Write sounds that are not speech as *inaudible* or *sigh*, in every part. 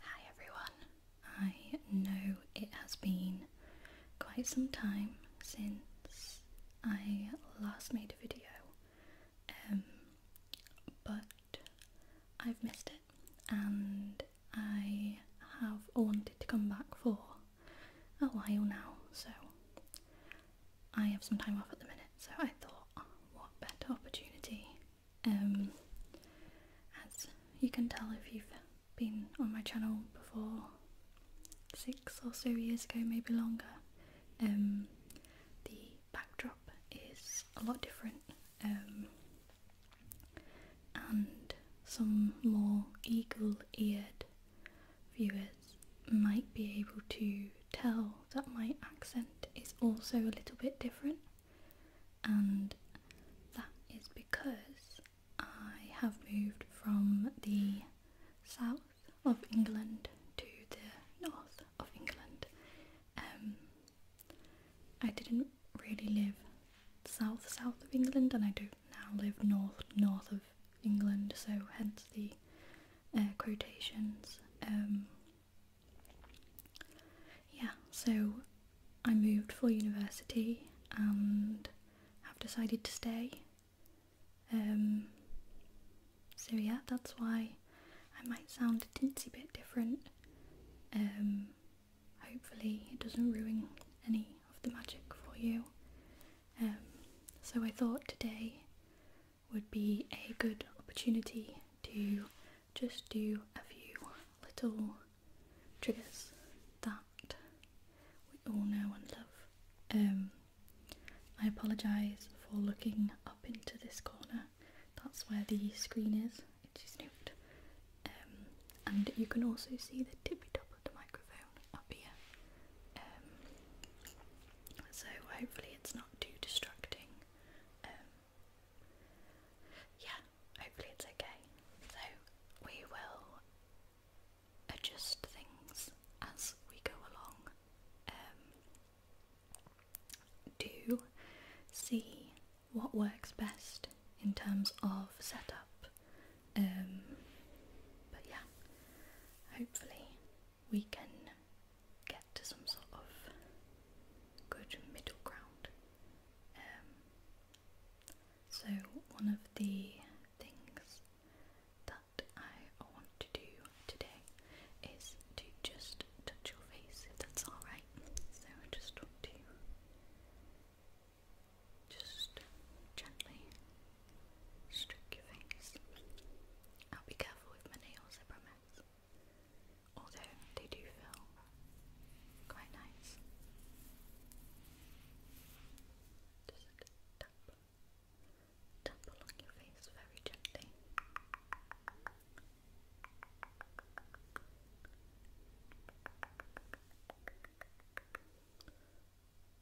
Hi everyone. I know it has been quite some time since I last made a video, um, but I've missed it and I have wanted to come back for a while now, so I have some time off at the minute, so I thought, what better opportunity um, as you can tell if you've been on my channel before six or so years ago, maybe longer, um, the backdrop is a lot different um, and some more eagle-eared viewers might be able to tell that my accent is also a little bit different and that is because I have moved from the south of England to the north of England. Um, I didn't really live south south of England, and I do now live north north of England, so hence the uh, quotations. Um, yeah, so I moved for university and have decided to stay. Um, so yeah, that's why I might sound a teensy bit different. Um, hopefully it doesn't ruin any of the magic for you. Um, so I thought today would be a good opportunity to just do a few little triggers that we all know and love. Um, I apologise for looking up into this corner. That's where the screen is. It's moved. Um, and you can also see the tippy top of the microphone up here. Um, so hopefully it's not too distracting yeah, hopefully it's okay. So we will adjust things as we go along. Um, do see what works best in terms of setup. Um, but yeah, hopefully we can get to some sort of good middle ground. Um, so, one of the things that I want to do today is to just touch your face if that's alright. So, I just want to you. just gently stroke your face. I'll be careful with my nails, I promise although they do feel quite nice. Just tap, tap along your face very gently.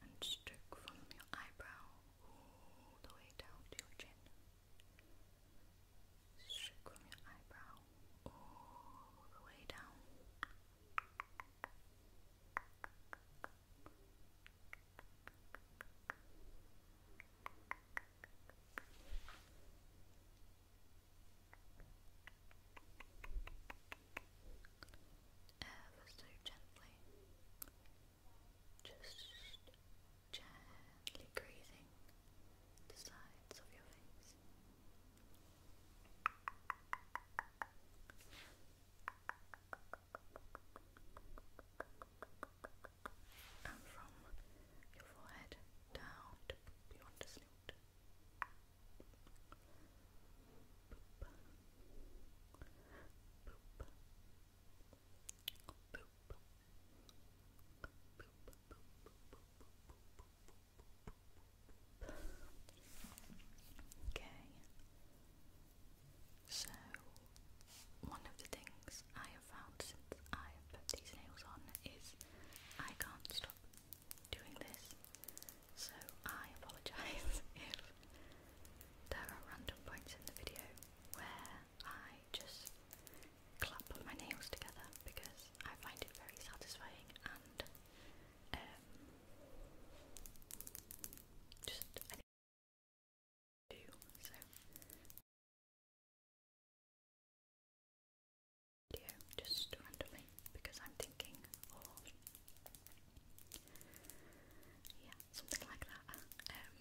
And stroke from your eyebrow all the way down to your chin. Straight from your eyebrow all the way down. Ever so gently, just gently grazing the sides of your face. And from your forehead down to beyond the Okay, so one of the things I have found since i put these nails on is I can't stop doing this, so I apologise *laughs* if there are random points in the video where I just clap my nails together because I find it very satisfying and um, just do. So, video just randomly because I'm thinking, or yeah, something like that. Um,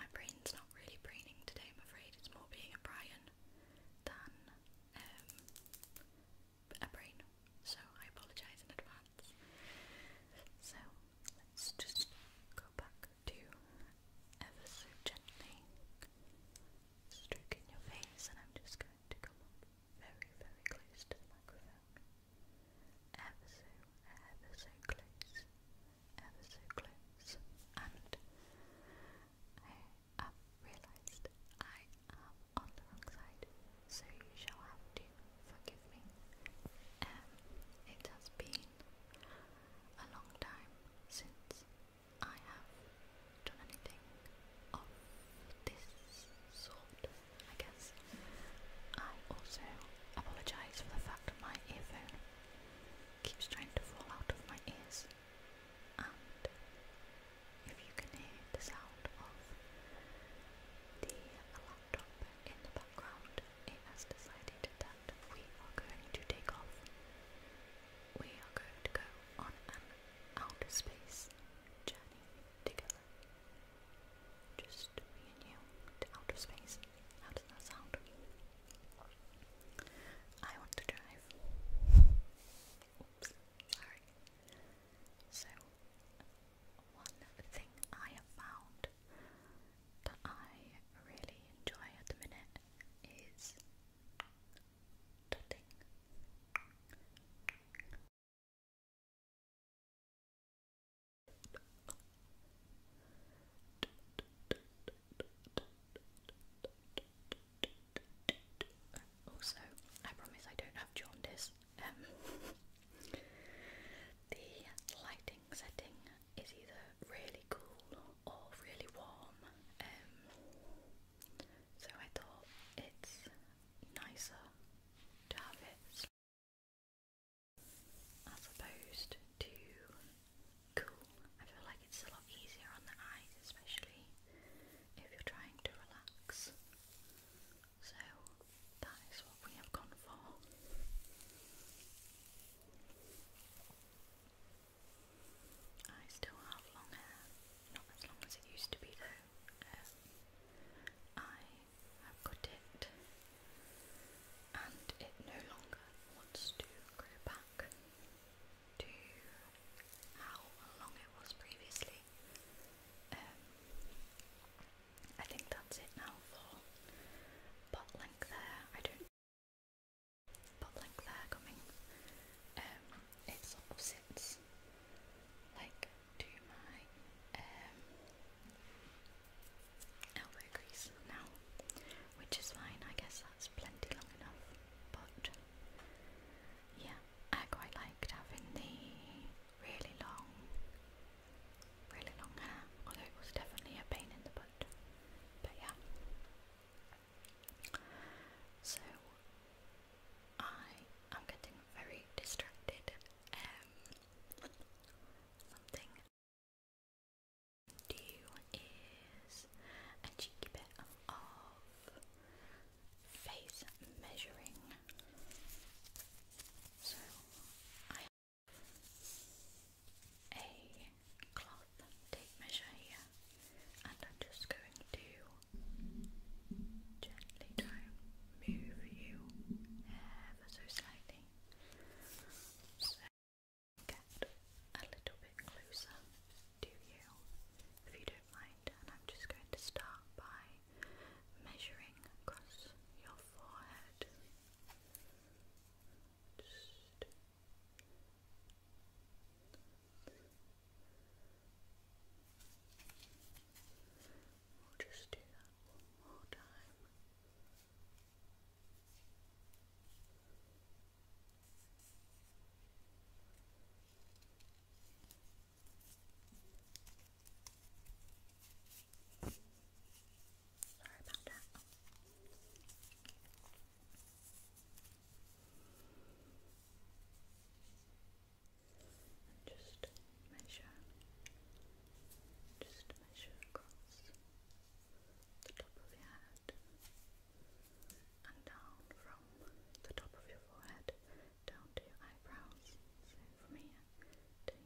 my brain's not really preening today, I'm afraid. It's more being a Brian than um, a brain. So I apologise in advance. So let's just go back to ever so gently stroking your face, and I'm just going to come very, very close to the microphone. Ever so, ever so close ever so close, and I have realised I am on the wrong side, so you shall have to forgive me. Um, it has been a long time since I have done anything of this sort, I guess. I also apologise for the fact that my earphone keeps trying to fall out of my ears. if you can hear the sound of the laptop in the background, it has decided that we are going to take off. We are going to go on an outer space journey together. Just me and you to outer space. How does that sound? I want to drive. sorry. So, one thing I have found that I really enjoy at the minute is dotting. Also, I promise I don't have jaundice. Um, *laughs* the lighting setting is either really cool or really warm, um, so I thought it's nicer to have it as opposed to cool. I feel like it's a lot easier on the eyes, especially if you're trying to relax. So that is what we have gone for. I still have long hair, not as long as it used to be though. Um, I have cut it and it no longer wants to grow back to how long it was previously. Um, I think that's it now for pot length there. I don't pot length there coming. Um, it like to my um, elbow grease now, which is fine. I guess that's plenty long enough. But yeah, I quite liked having the really long, really long hair. Although it was definitely a pain in the butt. But yeah. So I am getting very distracted. Um, something do is a cheeky bit of face measuring. So I have a cloth tape measure here, and I'm just going to gently move you ever so slightly get a little bit closer to you, if you don't mind. And I'm just going to start by measuring across your forehead. Just We'll just do that one more time. Sorry about that. Just measure, just measure across the top of your head and down from the top of your forehead down to your eyebrows. So from here to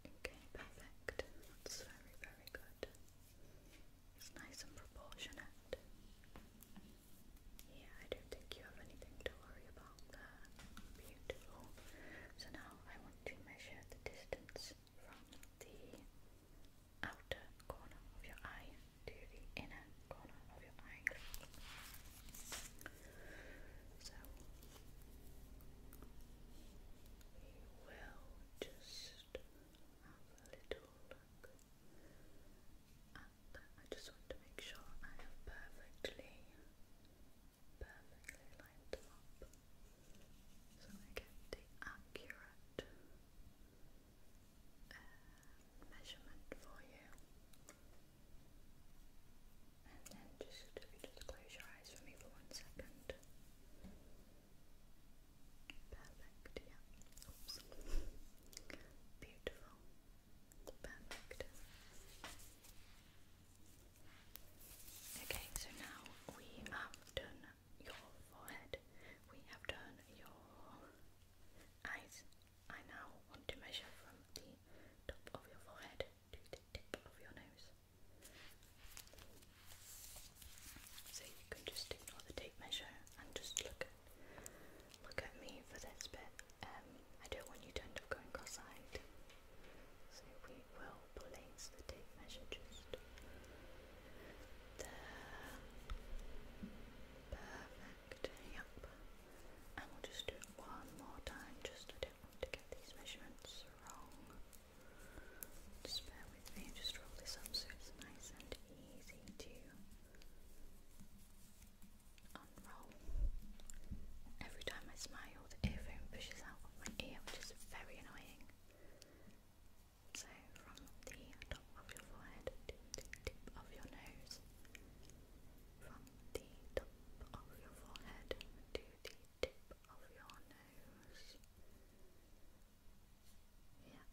Okay, perfect. That's very, very good. It's nice and proportionate. Yeah, I don't think you have anything to worry about. So now I want to measure the distance from the outer corner of your eye to the inner corner of your eye. So we will just have a little look I just want to make sure I have perfectly perfectly lined up so I get the accurate uh, measurement for you. And then just if you just close your eyes for me for one second. Perfect, Beautiful. Perfect. Okay, so now we have done your forehead, we have done your eyes. I now want to measure from the top of your forehead to the tip of your nose. So you can just ignore the tape measure and just look at look at me for this bit. Um, I don't want you to end up going cross-eyed. So we will place the tape measure just there. Perfect. Yep. And we'll just do it one more time. Just I don't want to get these measurements wrong. Just bear with me. Just roll this up so it's nice and easy to unroll. Every time I smile, all pushes out my ear, which is very annoying. So, from the top of your forehead to the tip of your nose, from the top of your forehead to the tip of your nose. Yeah,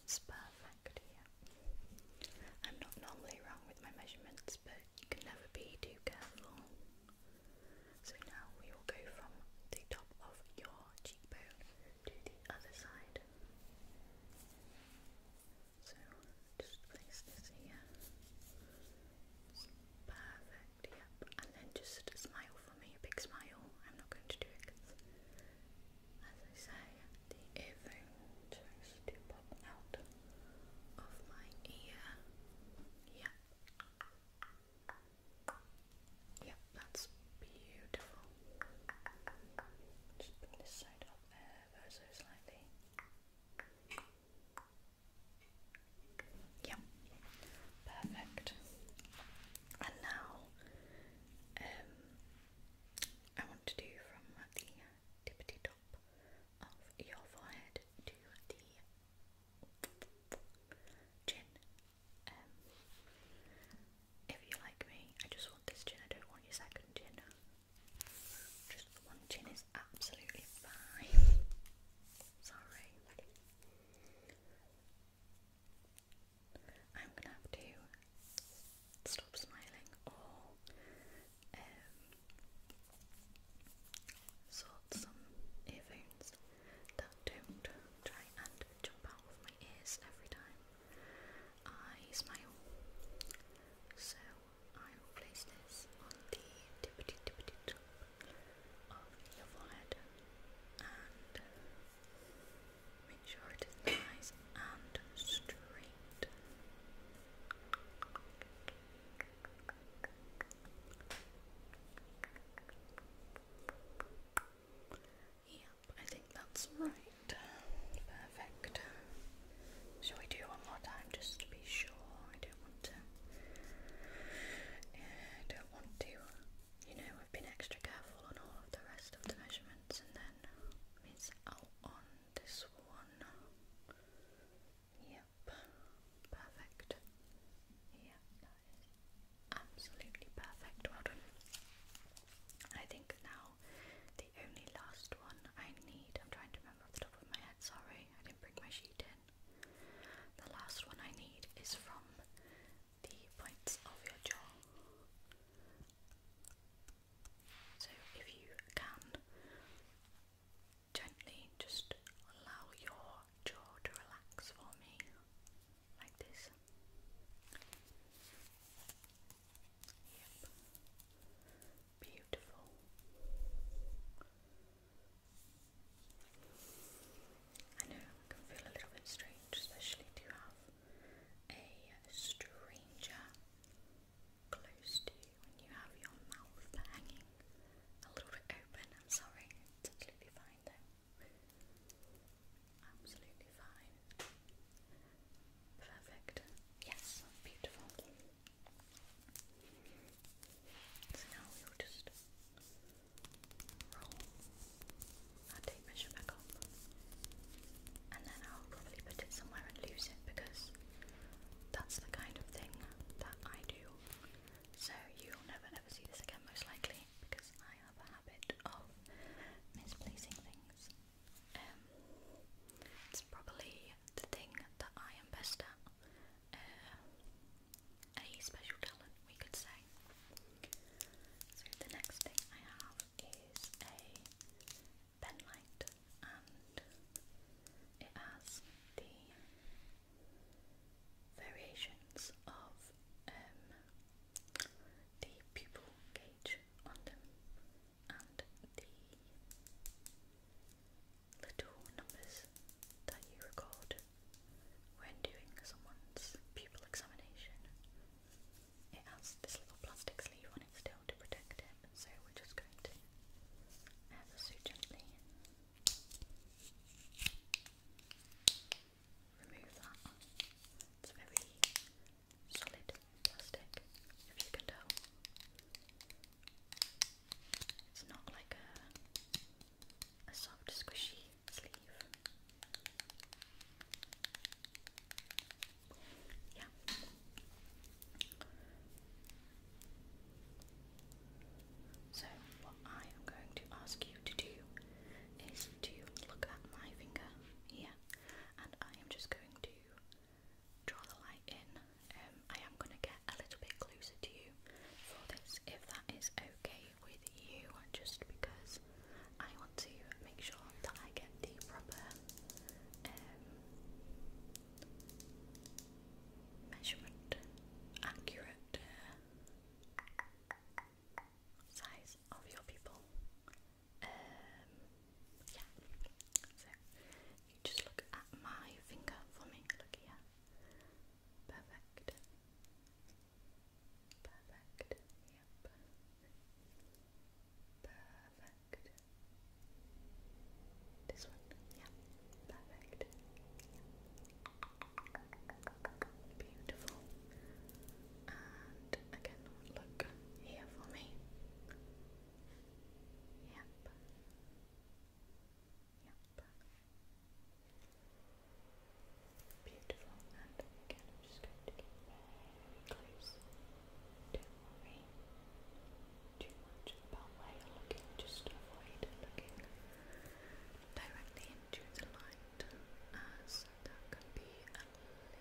that's perfect. Yeah, I'm not normally wrong with my measurements, but you can never be too careful. So now we will go from the top of your cheekbone to the other side. So just place this here. perfect, yep. And then just smile for me, a big smile. I'm not going to do it as I say, the earphone tries to out of my ear. Yeah. Yeah, that's beautiful. Just bring this side up ever so slightly. Yeah, perfect. And now, um, I want to do from the tippity top of your forehead to the chin. Um, if you like me, I just want this chin, I don't want your second chin. Just one chin is absolutely fine. Sorry. I'm gonna have to stop smiling um, sort some earphones that don't try and jump out of my ears every time I smile. So I will place this on the tippity tippity top of your forehead and make sure it is nice and straight. Yep, I think that's right. Perfect. Shall we do one more time just to be sure? I don't want to. I don't want to. You know, I've been extra careful on all of the rest of the measurements and then miss out on this one. Yep, perfect. Yeah, that is absolutely perfect. Well done. I think now the only last one I need, I'm trying to remember off the top of my head, sorry, I didn't bring my sheet in. The last one I need is from the points of your jaw. So if you can gently just allow your jaw to relax for me like this. Yep. Beautiful. I know it can feel a little bit strange, especially to have a stranger close to when you have your mouth hanging a little bit open. I'm sorry, absolutely fine though. Absolutely fine. Perfect. Yes, beautiful. So now we'll just roll our tape measure back up. And then I'll probably put it somewhere and lose it because that's the kind of thing that I do. So you'll never ever see this again most likely because I have a habit of misplacing things. Um, it's probably the thing that I am best at. Uh, a special talent we could say. So the next thing I have is a pen light and it has the variations of um, the pupil gauge on them and the little numbers that you record when doing someone's pupil examination. It has this little plastic sleeve on it still to protect him, so we're just going to ever so gently remove that. It's very solid plastic, if you can tell. It's not like a soft, squishy sleeve. Yeah. So, what I am going to ask you to do is to look at my finger here, and I am just going to draw the light in. Um, I am going to get a little bit closer to you for this, if that is okay with you, just because I want to make sure that I get the proper um, measurement, accurate uh, size of your people. Um, yeah. So you just look at my finger for me. Look here. Perfect. Perfect. Yep. Perfect. This one? Yeah. Perfect. Beautiful. And again, look here for me. Yep. Yep. Beautiful. And again, I'm just going to get very close too much about where you're looking, just avoid looking directly into the light as uh, that can be a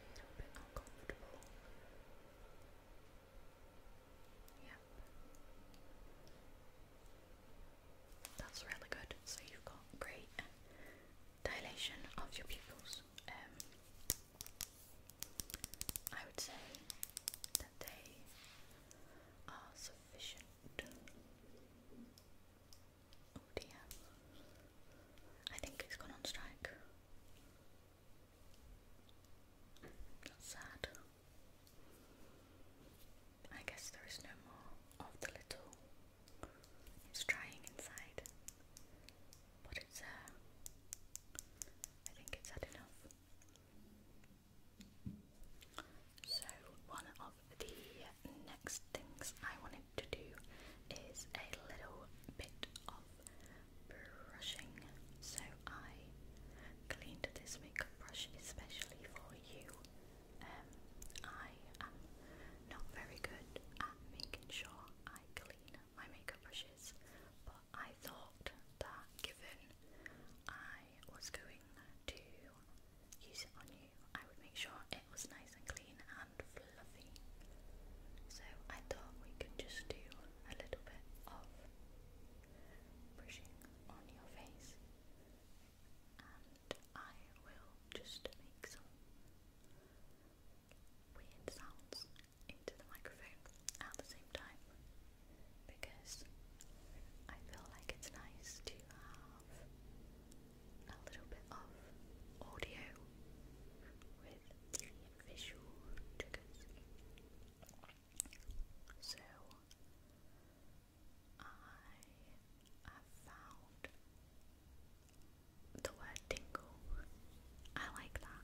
little bit uncomfortable. Yep. That's really good. So you've got great dilation of your pupils. Um, I would say that they are sufficient. Oh dear. I think it's gone on strike. That's sad. I guess there is no more of the little. It's drying inside. But it's, uh, I think it's had enough. So, one of the next things I wanted to do is a little bit of brushing. So, I cleaned this makeup brush especially for you. Um, I am not very good at making sure I clean my makeup brushes, but I thought that given I was going to use it on you, I would make sure it was nice and clean and fluffy. So I thought we could just do a little bit of brushing on your face, and I will just make some weird sounds into the microphone at the same time because I feel like it's nice to have a little bit of audio with visual triggers. So I have found the word tingle. I like that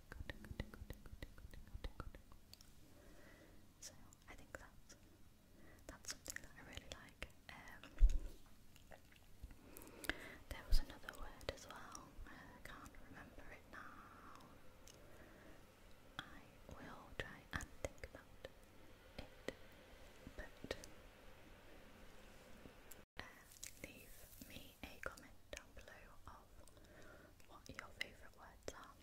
so I think that's that's something that I really like. Um, there was another word as well. I can't remember it now. I will try and think about it, but uh, leave me a comment down below of what your favourite words are.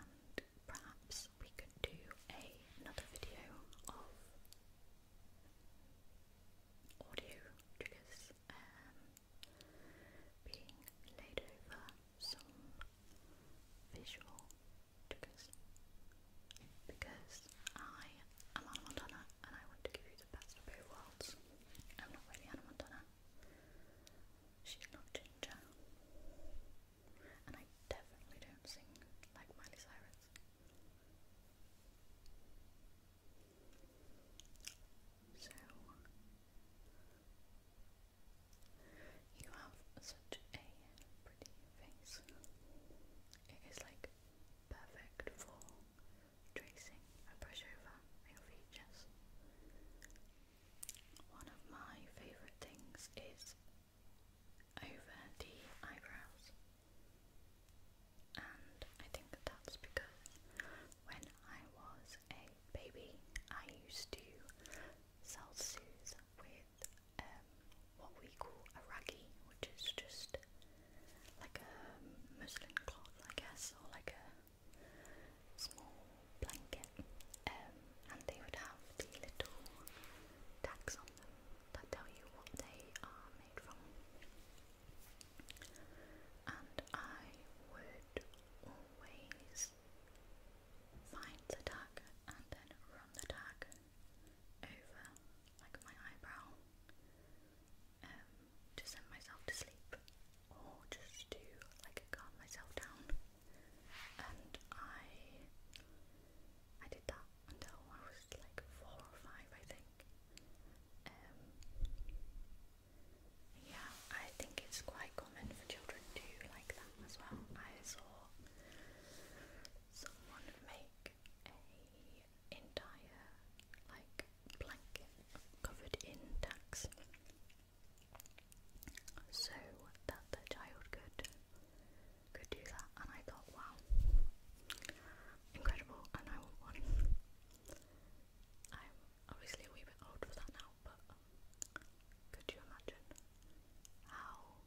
And perhaps we could do a, another video of audio triggers um, being laid over some visual triggers because I am Anna Montana and I want to give you the best of both worlds. I'm not really Hannah Montana. She's not ginger. And I definitely don't sing like Miley Cyrus. So, you have such a pretty face. It is like perfect for tracing a brush over your features. One of my favourite things is over the eyebrows, and I think that's because when I was a baby, I used to self soothe with um, what we call a raggy, which is just like a muslin cloth, I guess, or like a small blanket, um, and they would have the little tags on them that tell you what they are made from. And I would always find the tag and then run the tag over like my eyebrow um, to send myself to sleep or just to like calm myself down. And I I did that until I was like four or five, I think. Um, yeah, I think it's quite common for children to like that as well. I saw someone make like a entire like blanket covered in tacks so that the child could could do that and I thought wow incredible and I want one I'm obviously a wee bit old for that now but could you imagine how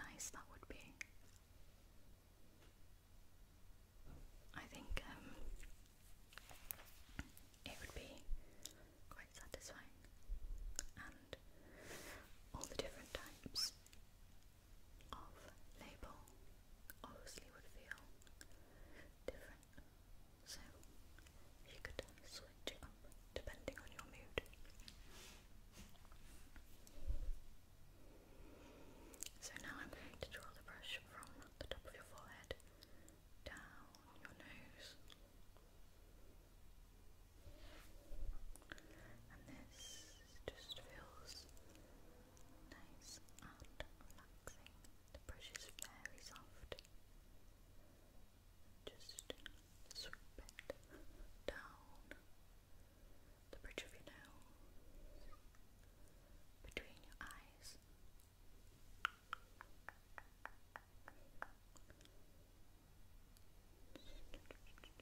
nice that would be I think um, it would be quite satisfying, and all the different types of label obviously would feel different. So you could switch it up depending on your mood. So now I'm going to draw the brush from the top of your forehead down your nose. And this just feels nice and relaxing. The brush is very soft. Just swoop it down the bridge of your nose, between your eyes, and we can do a really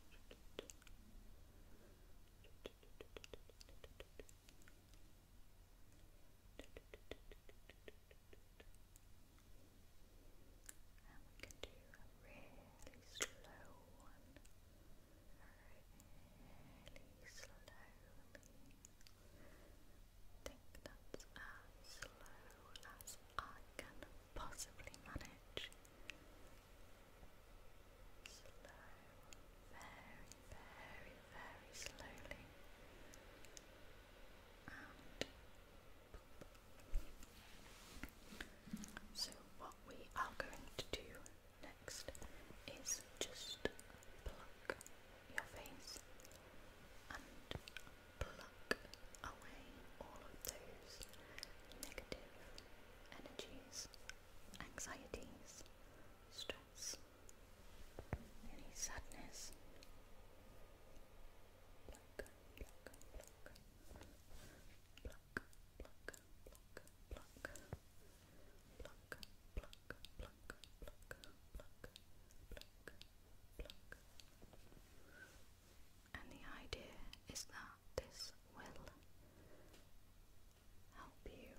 slow one really slowly. Think that's slow as I can possibly manage. Slow, very, very, very slowly. so, what we are going to do next is just pluck your face and pluck away all of those negative energies, anxieties, stress, any sadness pluck, And the idea is that this will help you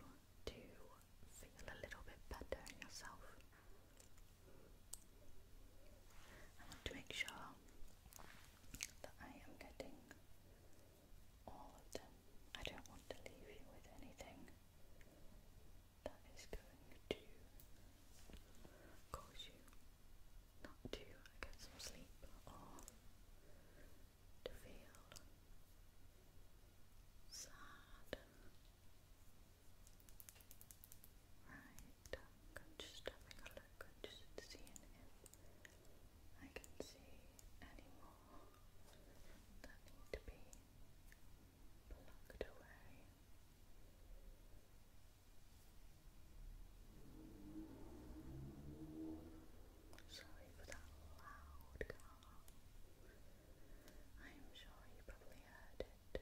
to feel a little bit better yourself. I want to make sure that I am getting all of them. I don't want to leave you with anything that is going to cause you not to get some sleep or to feel sad. Right, just having a look, just seeing if I can see anymore that need to be plucked away. Sorry for that loud car. I am sure you probably heard it.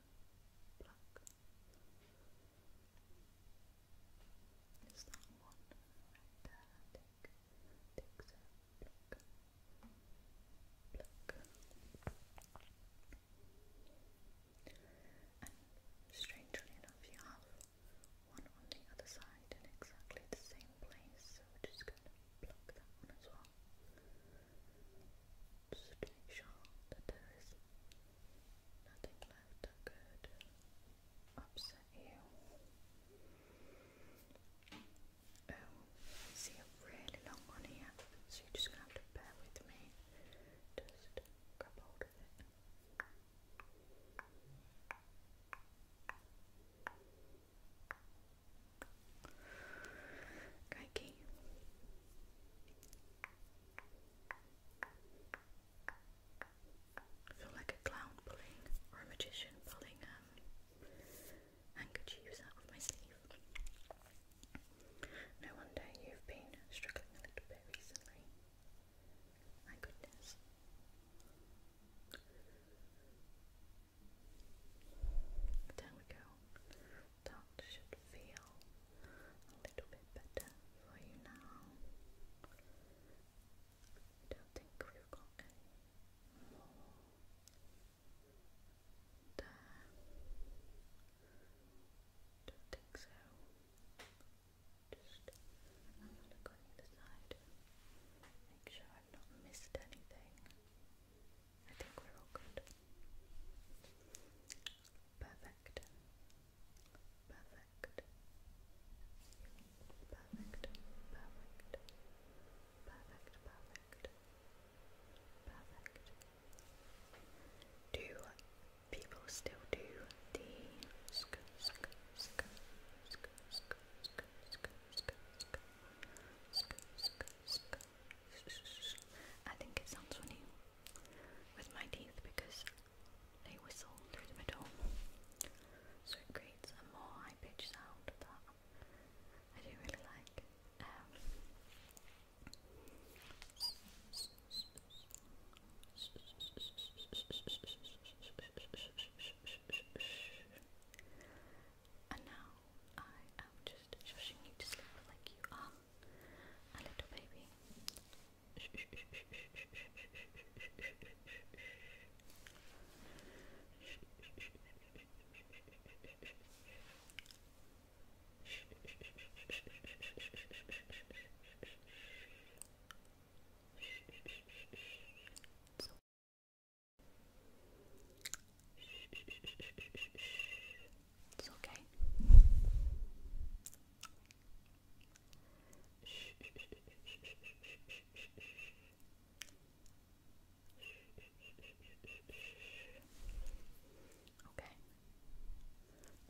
black. strangely enough, you have one on the other side in exactly the same place, so just going to pluck that one as well. Just make sure that there is nothing left that could upset you. Um, I see a really long one here, so you're just gonna have to bear with me. Just grab hold of it. Okay, I feel like a clown pulling or a magician pulling um, handkerchiefs out of my sleeve. No wonder you've been struggling a little bit recently. My goodness. There we go that should feel a little bit better for you now. I don't think we've got any more there. Don't think so. Just have a side. Make sure I've not missed anything. I think we're all good. Perfect. Perfect. Perfect. Perfect. Perfect. Perfect. Perfect. Do people still do the I think it sounds funny with my teeth because they whistle through the middle. So it creates a more high pitched sound that I do really like. Um, and now I am just shushing you to sleep like you are a little baby. It's okay.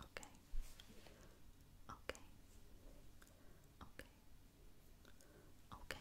Okay. Okay. Okay. Okay. Okay.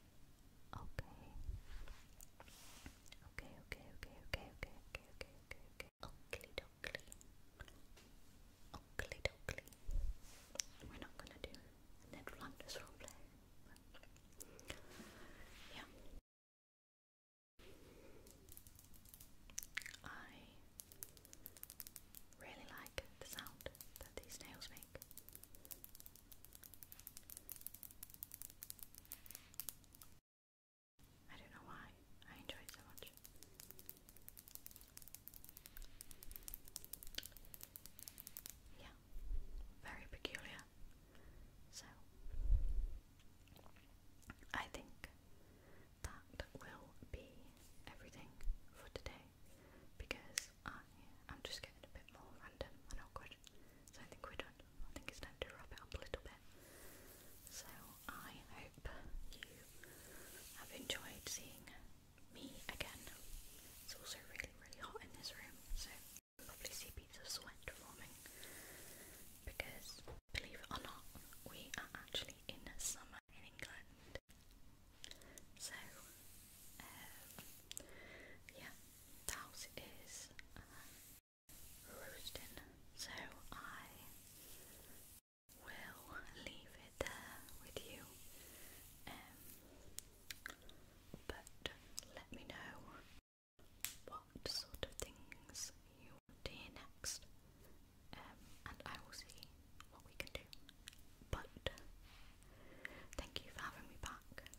Okay. Okay, okay, okay, okay, okay, okay, okay, okay, okay. Oakley doakley. Oakley doakley. We're not gonna do Ned Flanders roleplay. Yeah. I really like the sound that these nails make. I don't know why I enjoy it so much. Yeah, very peculiar. So, I think that will be everything for today because I am just getting a bit more random and oh, awkward. So, I think we're done. I think it's time to wrap it up a little bit. So I hope you have enjoyed seeing me again. It's also really, really hot in this room, so probably see beads of sweat forming because, believe it or not, we are actually in the summer in England. So, um, yeah, the uh, roasting, so I will leave it there with you. Um, but let me know what sort of things you want to hear next, um, and I will see what we can do. But thank you for having me back.